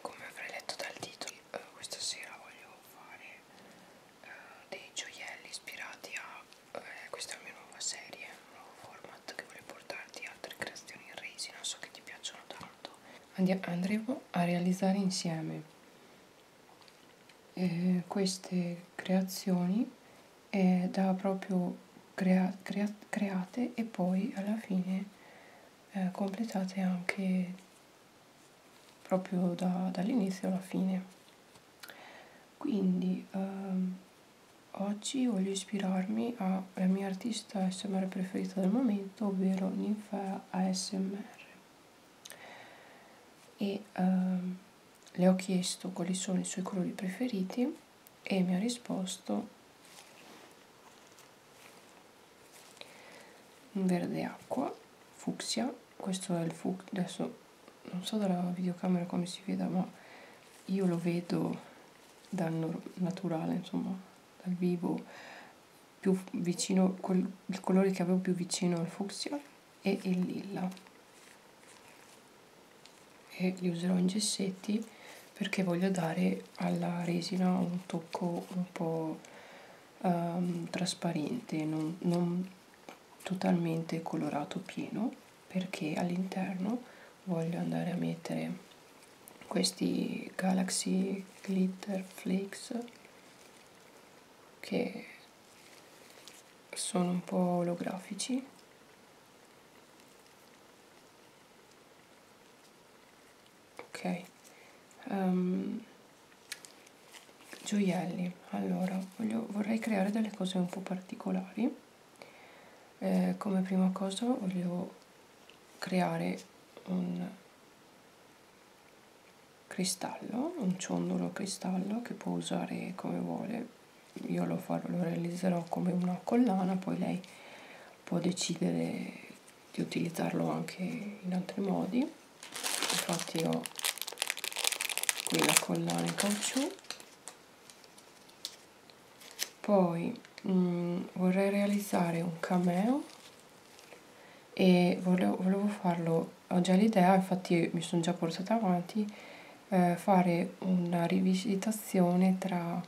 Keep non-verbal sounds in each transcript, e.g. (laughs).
come avrei letto dal titolo eh, questa sera voglio fare eh, dei gioielli ispirati a eh, questa è la mia nuova serie un nuovo format che voglio portarti altre creazioni in resina so che ti piacciono tanto Andia andremo a realizzare insieme eh, queste creazioni eh, da proprio crea crea create e poi alla fine eh, completate anche proprio da, dall'inizio alla fine quindi ehm, oggi voglio ispirarmi alla mia artista smr preferita del momento ovvero ninfa asmr e ehm, le ho chiesto quali sono i suoi colori preferiti e mi ha risposto un verde acqua fucsia questo è il fucsia adesso non so dalla videocamera come si veda ma io lo vedo dal naturale insomma dal vivo più vicino col, il colore che avevo più vicino al fucsia e il lilla e li userò in gessetti perché voglio dare alla resina un tocco un po' um, trasparente, non, non totalmente colorato pieno, perché all'interno voglio andare a mettere questi Galaxy Glitter Flakes che sono un po' olografici ok um, gioielli allora voglio, vorrei creare delle cose un po' particolari eh, come prima cosa voglio creare un cristallo un ciondolo cristallo che può usare come vuole io lo, farò, lo realizzerò come una collana poi lei può decidere di utilizzarlo anche in altri modi infatti ho qui la collana in caucciù poi mh, mm, vorrei realizzare un cameo e volevo, volevo farlo ho già l'idea infatti mi sono già portata avanti eh, fare una rivisitazione tra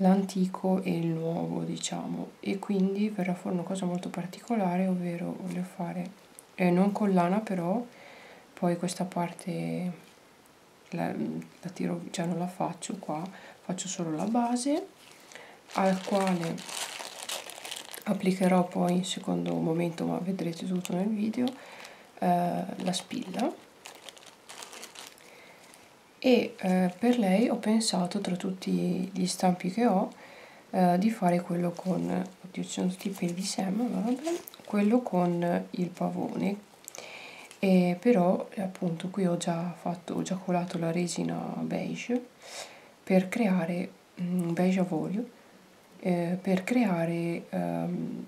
l'antico e il nuovo diciamo e quindi verrà fuori una cosa molto particolare ovvero voglio fare eh, non con lana però poi questa parte la, la tiro già cioè non la faccio qua faccio solo la base al quale applicherò poi in secondo momento ma vedrete tutto nel video eh, la spilla e eh, per lei ho pensato tra tutti gli stampi che ho eh, di fare quello con oddio ci sono tutti i peli di sema vabbè, quello con il pavone e però appunto qui ho già fatto ho già colato la resina beige per creare mh, mm, beige a olio eh, per creare ehm,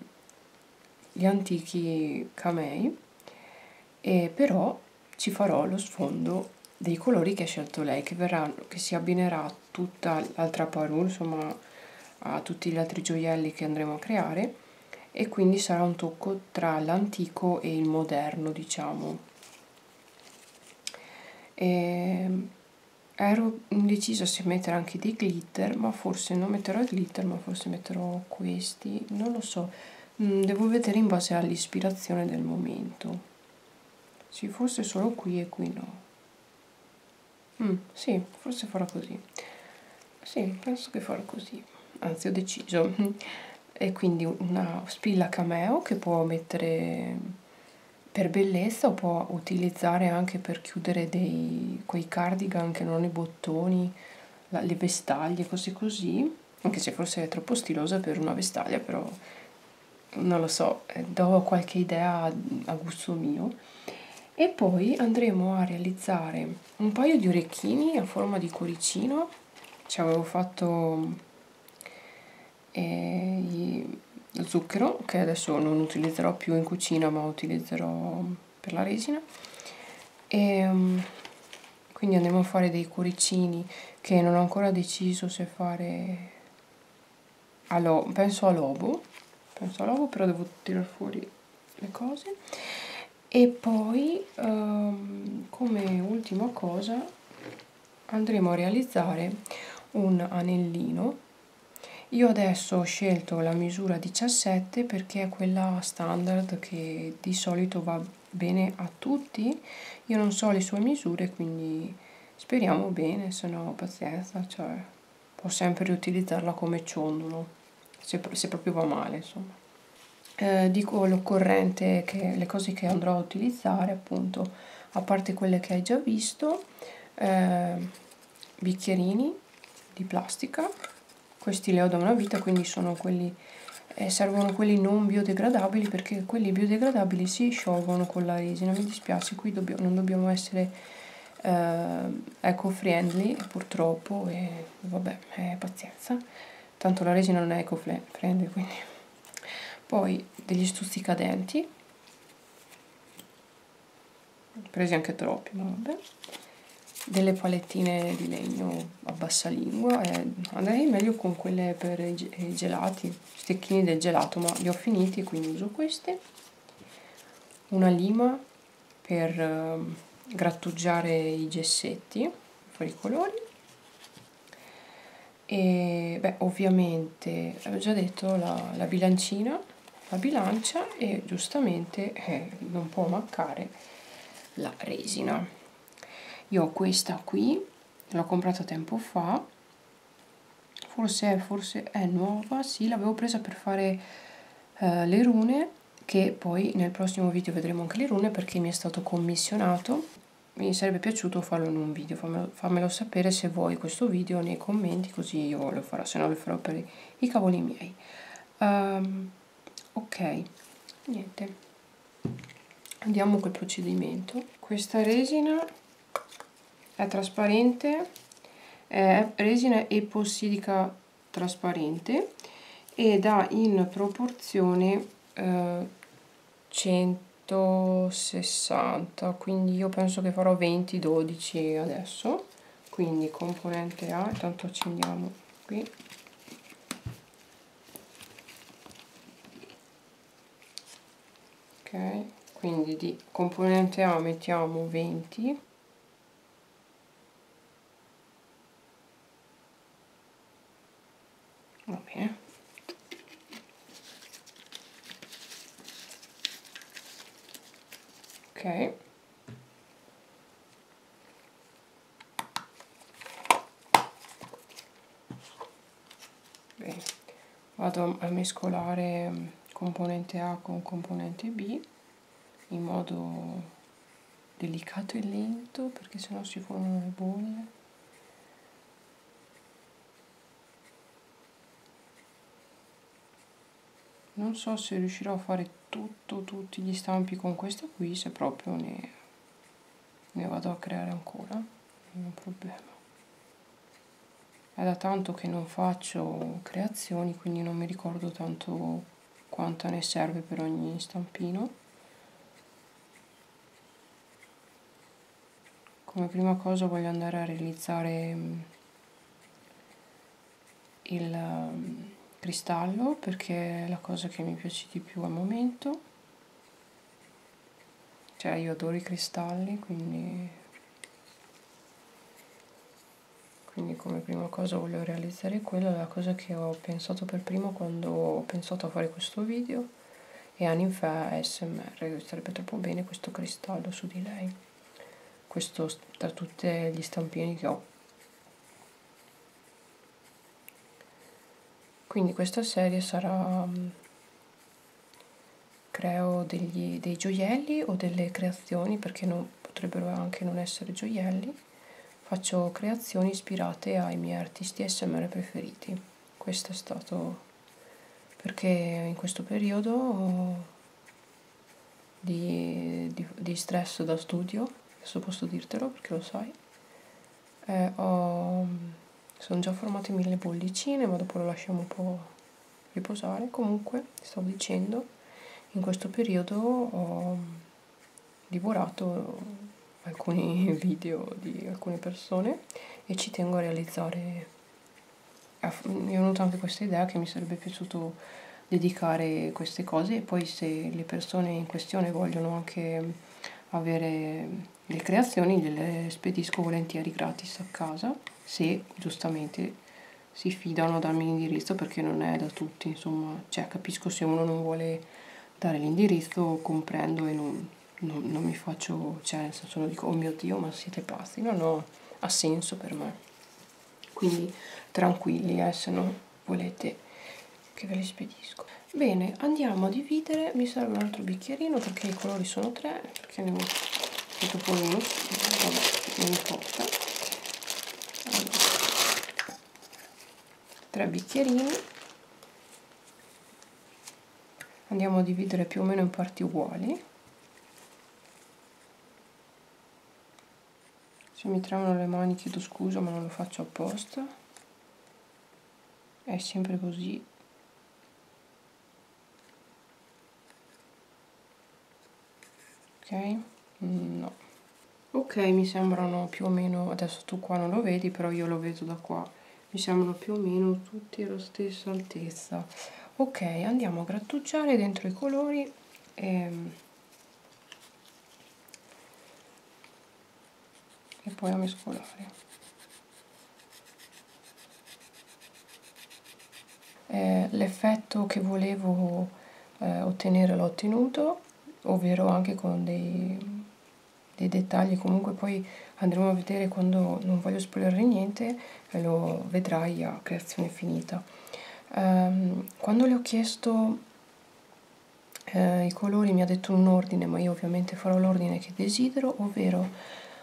gli antichi camei e però ci farò lo sfondo dei colori che ha scelto lei che, verrà, che si abbinerà a tutta l'altra parure insomma a tutti gli altri gioielli che andremo a creare e quindi sarà un tocco tra l'antico e il moderno diciamo e ero indecisa se mettere anche dei glitter ma forse non metterò il glitter ma forse metterò questi non lo so Mm, devo vedere in base all'ispirazione del momento sì forse solo qui e qui no mm, sì forse farò così sì penso che farò così anzi ho deciso (laughs) e quindi una spilla cameo che può mettere per bellezza o può utilizzare anche per chiudere dei, quei cardigan che non hanno i bottoni la, le vestaglie cose così anche se forse è troppo stilosa per una vestaglia, però non lo so, eh, do qualche idea a gusto mio. E poi andremo a realizzare un paio di orecchini a forma di cuoricino, ci avevo fatto eh, lo zucchero che adesso non utilizzerò più in cucina ma utilizzerò per la resina e um, quindi andremo a fare dei cuoricini che non ho ancora deciso se fare allo, penso a lobo penso a lobo però devo tirar fuori le cose e poi um, come ultima cosa andremo a realizzare un anellino io adesso ho scelto la misura 17 perché è quella standard che di solito va va bene a tutti io non so le sue misure quindi speriamo bene se no pazienza cioè può sempre riutilizzarla come ciondolo se, se proprio va male insomma eh, dico l'occorrente che le cose che andrò a utilizzare appunto a parte quelle che hai già visto eh, bicchierini di plastica questi le ho da una vita quindi sono quelli eh, servono quelli non biodegradabili perché quelli biodegradabili si sciolgono con la resina mi dispiace qui dobbio, non dobbiamo essere eh, eco friendly purtroppo e vabbè eh, pazienza tanto la resina non è eco friendly quindi poi degli stuzzicadenti presi anche troppi ma vabbè delle palettine di legno a bassa lingua e andrei meglio con quelle per i gelati, stecchini del gelato, ma li ho finiti quindi uso questi. Una lima per ehm, grattugiare i gessetti, fuori i colori. E beh, ovviamente, avevo già detto, la, la bilancina, la bilancia e giustamente, eh, non può mancare, la resina io ho questa qui l'ho comprata tempo fa forse, forse è nuova sì l'avevo presa per fare eh, le rune che poi nel prossimo video vedremo anche le rune perché mi è stato commissionato mi sarebbe piaciuto farlo in un video fammelo, fammelo sapere se vuoi questo video nei commenti così io lo farò se no lo farò per i cavoli miei um, ok niente andiamo col procedimento questa resina è trasparente è resina epossidica trasparente ed ha in proporzione eh, 160 quindi io penso che farò 20 12 adesso quindi componente A intanto accendiamo qui ok quindi di componente A mettiamo 20 va bene ok Bene. vado a mescolare mm, componente A con componente B in modo delicato e lento perché sennò si formano le bolle non so se riuscirò a fare tutto, tutti gli stampi con questa qui se proprio ne, ne vado a creare ancora non è un problema è da tanto che non faccio creazioni quindi non mi ricordo tanto quanta ne serve per ogni stampino come prima cosa voglio andare a realizzare mm, il ehm, cristallo perché è la cosa che mi piace di più al momento cioè io adoro i cristalli quindi, quindi come prima cosa voglio realizzare quella è la cosa che ho pensato per primo quando ho pensato a fare questo video e Annie fa ASMR sarebbe troppo bene questo cristallo su di lei questo da tutti gli stampini che ho quindi questa serie sarà mm, creo degli, dei gioielli o delle creazioni perché non, potrebbero anche non essere gioielli faccio creazioni ispirate ai miei artisti smr preferiti questo è stato perché in questo periodo di, di, di stress da studio adesso posso dirtelo perché lo sai eh, ho, mm, sono già formate mille bollicine ma dopo lo lasciamo un po' riposare comunque stavo dicendo in questo periodo ho mm, divorato alcuni (laughs) video di alcune persone e ci tengo a realizzare mi è venuta anche questa idea che mi sarebbe piaciuto dedicare queste cose e poi se le persone in questione vogliono anche avere le creazioni gliele spedisco volentieri gratis a casa se giustamente si fidano a darmi l'indirizzo perché non è da tutti insomma cioè capisco se uno non vuole dare l'indirizzo comprendo e non, non, non mi faccio cioè nel senso non dico oh mio dio ma siete pazzi no no ha senso per me quindi tranquilli eh se no volete che ve li spedisco bene andiamo a dividere mi serve un altro bicchierino perché i colori sono tre perché ne ho fatto poi uno vabbè non importa allora, tre bicchierini andiamo a dividere più o meno in parti uguali se mi tremano le mani chiedo scusa ma non lo faccio apposta è sempre così ok no ok mi sembrano più o meno adesso tu qua non lo vedi però io lo vedo da qua mi sembrano più o meno tutti alla stessa altezza ok andiamo a grattugiare dentro i colori e ehm, e poi a mescolare eh, l'effetto che volevo eh, ottenere l'ho ottenuto ovvero anche con dei, dei, dettagli comunque poi andremo a vedere quando non voglio spoilerare niente lo vedrai a creazione finita um, quando le ho chiesto eh, i colori mi ha detto un ordine ma io ovviamente farò l'ordine che desidero ovvero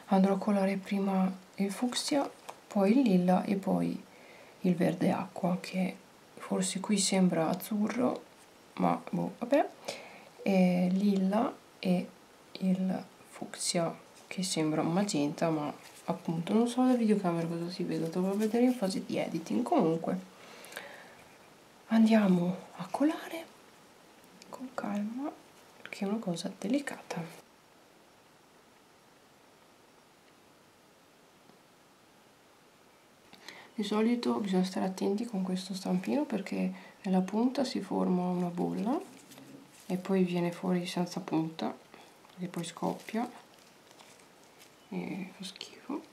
andrò a colare prima il fucsia poi il lilla e poi il verde acqua che forse qui sembra azzurro ma boh vabbè e lilla e il fucsia che sembra magenta ma appunto non so la videocamera cosa si vede dovrò vedere in fase di editing comunque andiamo a colare con calma perché è una cosa delicata di solito bisogna stare attenti con questo stampino perché nella punta si forma una bolla e poi viene fuori senza punta che poi scoppia e fa schifo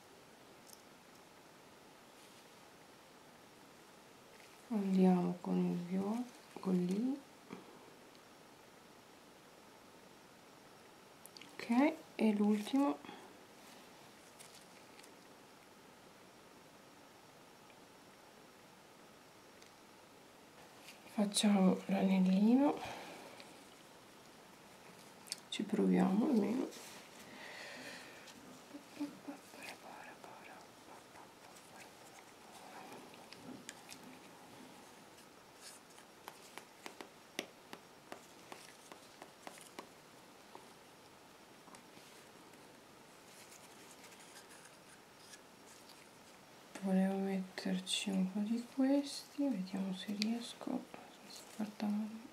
andiamo con il viola con lì ok e l'ultimo facciamo l'anellino ci proviamo almeno volevo metterci un po' di questi vediamo se riesco senza far danno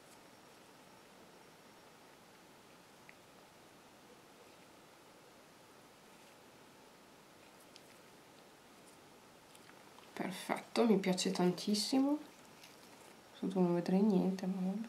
Perfetto, mi piace tantissimo. Sotto non vedrei niente, ma vabbè.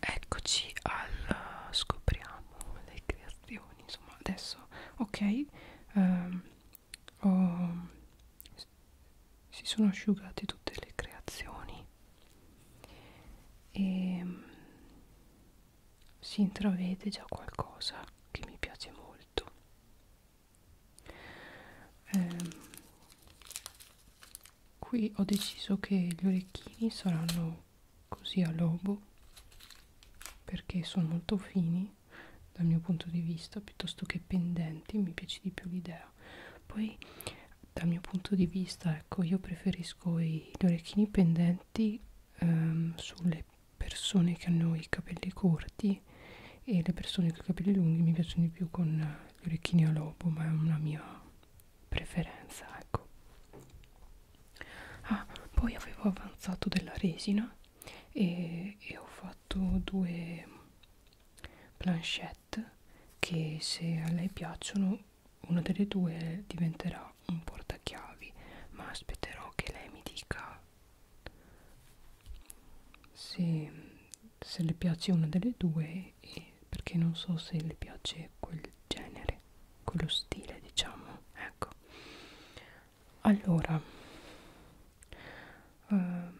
Eccoci al eh, scopriamo le creazioni, insomma adesso, ok, um, oh, si sono asciugate tutte le creazioni e mm, si intravede già qualcosa che mi piace molto eh, qui ho deciso che gli orecchini saranno così a lobo perché sono molto fini dal mio punto di vista piuttosto che pendenti mi piace di più l'idea poi dal mio punto di vista ecco io preferisco i, gli orecchini pendenti ehm, sulle persone che hanno i capelli corti e le persone con i capelli lunghi mi piacciono di più con gli orecchini a lobo ma è una mia preferenza ecco ah poi avevo avanzato della resina e, e ho fatto due planchette che se a lei piacciono una delle due diventerà un portachiavi, ma aspetterò che lei mi dica se, se le piace una delle due e perché non so se le piace quel genere, quello stile diciamo, ecco. Allora, uh,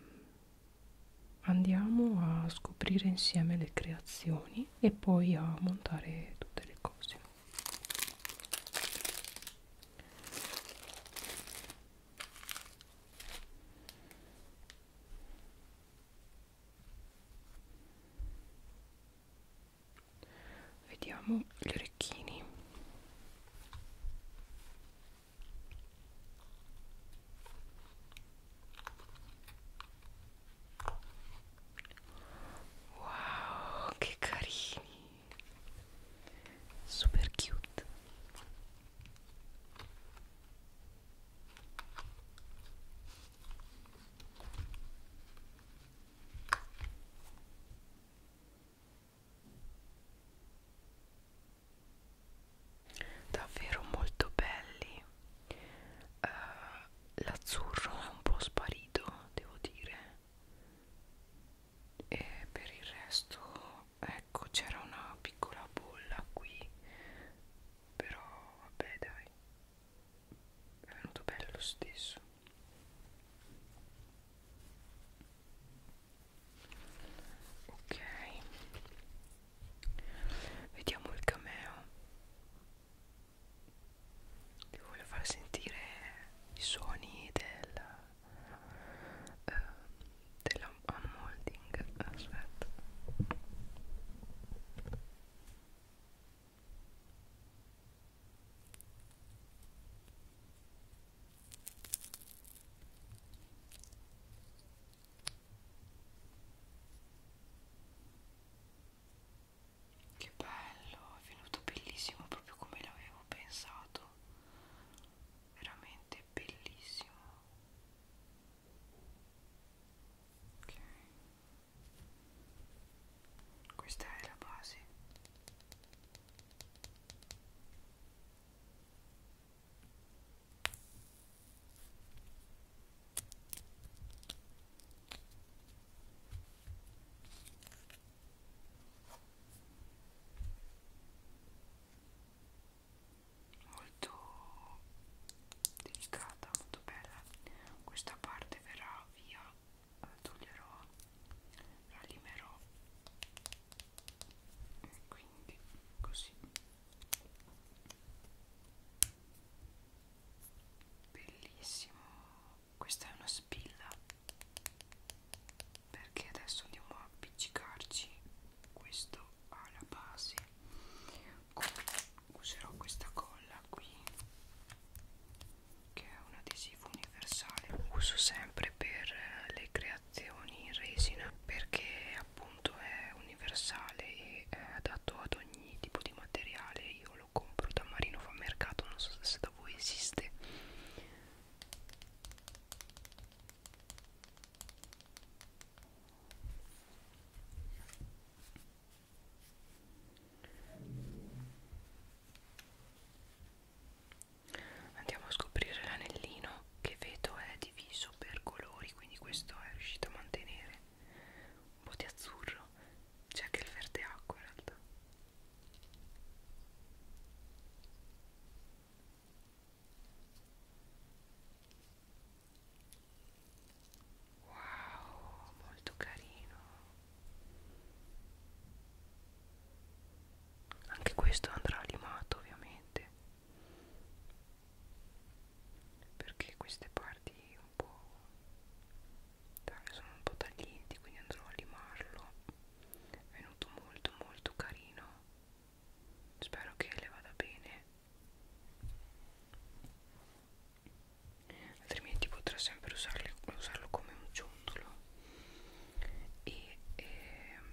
andiamo a scoprire insieme le creazioni pezzettini e poi a montare tutte le cose vediamo gli orecchini Wow, che carini! Super cute. Davvero molto belli uh, l'azzurro è un po' sparito devo dire e per il resto ecco c'era una piccola bolla qui però vabbè dai è venuto bello lo stesso ok vediamo il cameo vi voglio far sentire i suoni del eh, dell'unmolding aspetta che bello, è venuto bellissimo proprio come l'avevo pensato. Veramente bellissimo. Ok. Questa è la base molto delicata molto bella questa parte verrà via eh, toglierò ralimerò quindi così bellissimo questa è una spilla perché adesso andiamo a appiccicarci questo alla base userò questa colla qui che è un adesivo universale uso sempre per eh, le creazioni in resina perché appunto è universale e è adatto ad ogni ogni tipo di materiale io lo compro da Marino fa mercato non so se da voi esiste Andiamo a scoprire l'anellino che vedo è diviso per colori, quindi questo è riuscito a mantenere un po' di azzurro c'è anche il verde acqua in realtà wow molto carino anche questo andrà limato ovviamente perché queste parti un po' sono un po' taglienti quindi andrò a limarlo è venuto molto molto carino spero che le vada bene altrimenti potrà sempre usarli, usarlo come un ciondolo e ehm,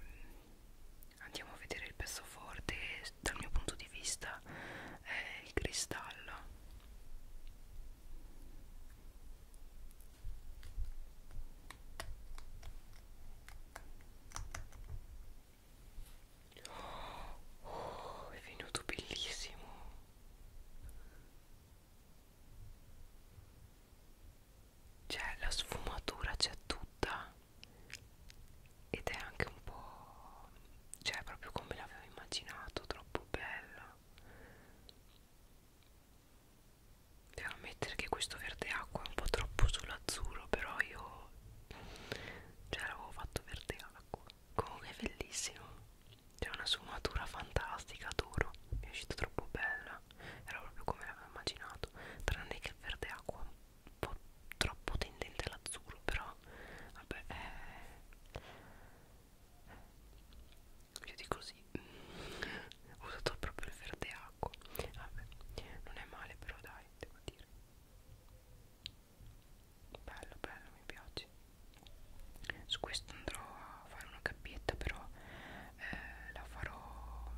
andiamo a vedere il pezzo forte dal mio punto di vista è il cristallo oh, oh, è venuto bellissimo cioè la sfumatura c'è tutta ed è anche un po' cioè proprio come l'avevo immaginato troppo bella devo ammettere che questo verde acqua è un po' troppo sull'azzurro però io cioè l'avevo fatto verde acqua comunque è bellissimo c'è una sfumatura fantastica adoro mi è uscita troppo bella era proprio come l'avevo immaginato tranne che il verde acqua un po' troppo tendente all'azzurro però vabbè eh, io dico così ho usato proprio il verde acqua vabbè non è male però dai devo dire bello bello mi piace su questo andrò a fare una cappietta però eh, la farò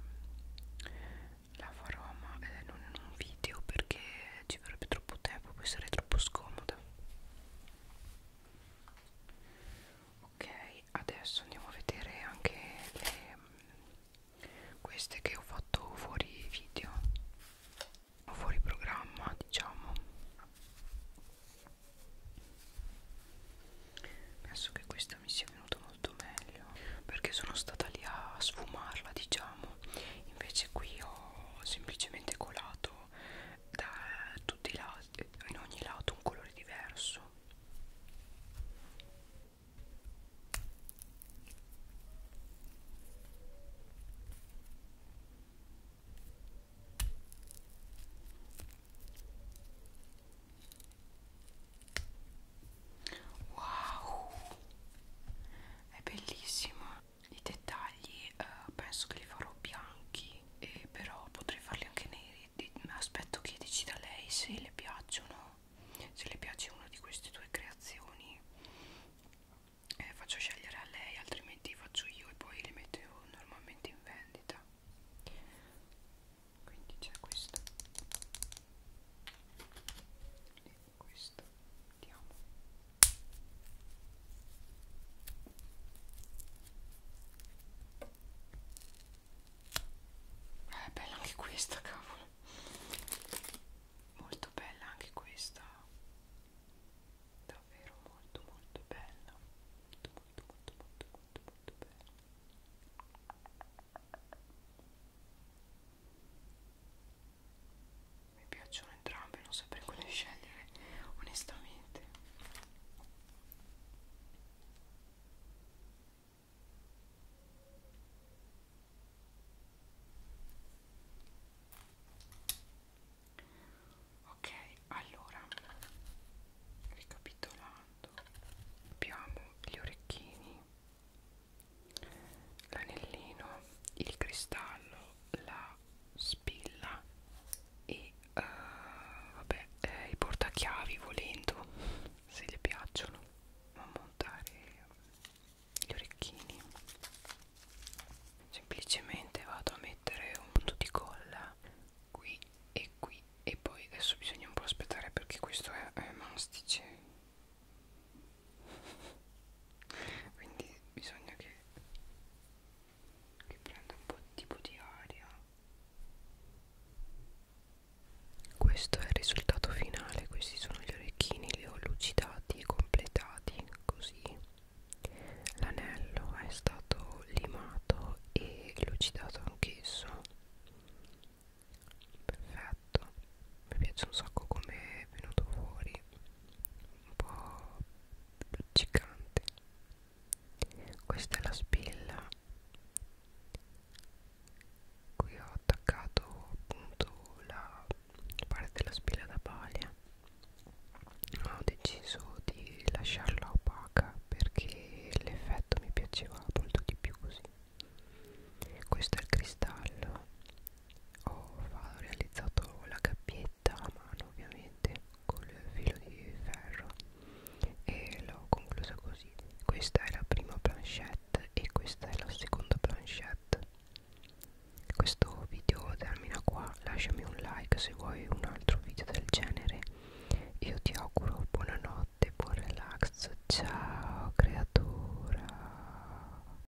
la farò ma eh, non in un video perché ci vorrebbe troppo tempo poi sarei troppo scomoda ok adesso andiamo a vedere anche le, queste che ho fatto fuori video fuori programma diciamo penso che questa mi sia venuta molto meglio perché sono stata lì a sfumarla diciamo invece qui ho semplicemente colato da tutti i lati in ogni lato un colore diverso Wow, è bellissima i dettagli eh, penso che li farò bianchi e però potrei farli anche neri mm, aspetto che decida lei se le piacciono se le piace una di queste due creazioni eh, faccio scegliere a lei altrimenti li faccio io e poi li metto normalmente in vendita quindi c'è questo questo vediamo eh, è bella anche questa cavolo molto bella anche questa davvero molto molto bella molto molto molto molto molto, molto bella mi piacciono entrambe non saprei quale scegliere onestamente ok allora ricapitolando abbiamo gli orecchini l'anellino, il cristallo, la spilla e uh, vabbè, eh, i portachiavi volendo se le piacciono a montare gli orecchini semplicemente vado a mettere un punto di colla qui e qui e poi adesso bisogna un po' aspettare perché questo è, è mastice quindi bisogna che, che prenda un po' tipo di aria questo è il risultato finale questi sono gli orecchini li ho lucidati e completati così l'anello è stato limato e lucidato anch'esso perfetto mi piace un sacco come è venuto fuori un po' luccicante questa è la spilla qui ho attaccato appunto la parte della spilla da paglia ho deciso di lasciarla opaca perché l'effetto mi piaceva molto di più così questo è il cristallo Oh, ho realizzato la cappietta a mano ovviamente col filo di ferro e l'ho conclusa così questa è la prima planchette e questa è la seconda planchette questo video termina qua lasciami un like se vuoi un altro video del genere io ti auguro buonanotte buon relax ciao creatura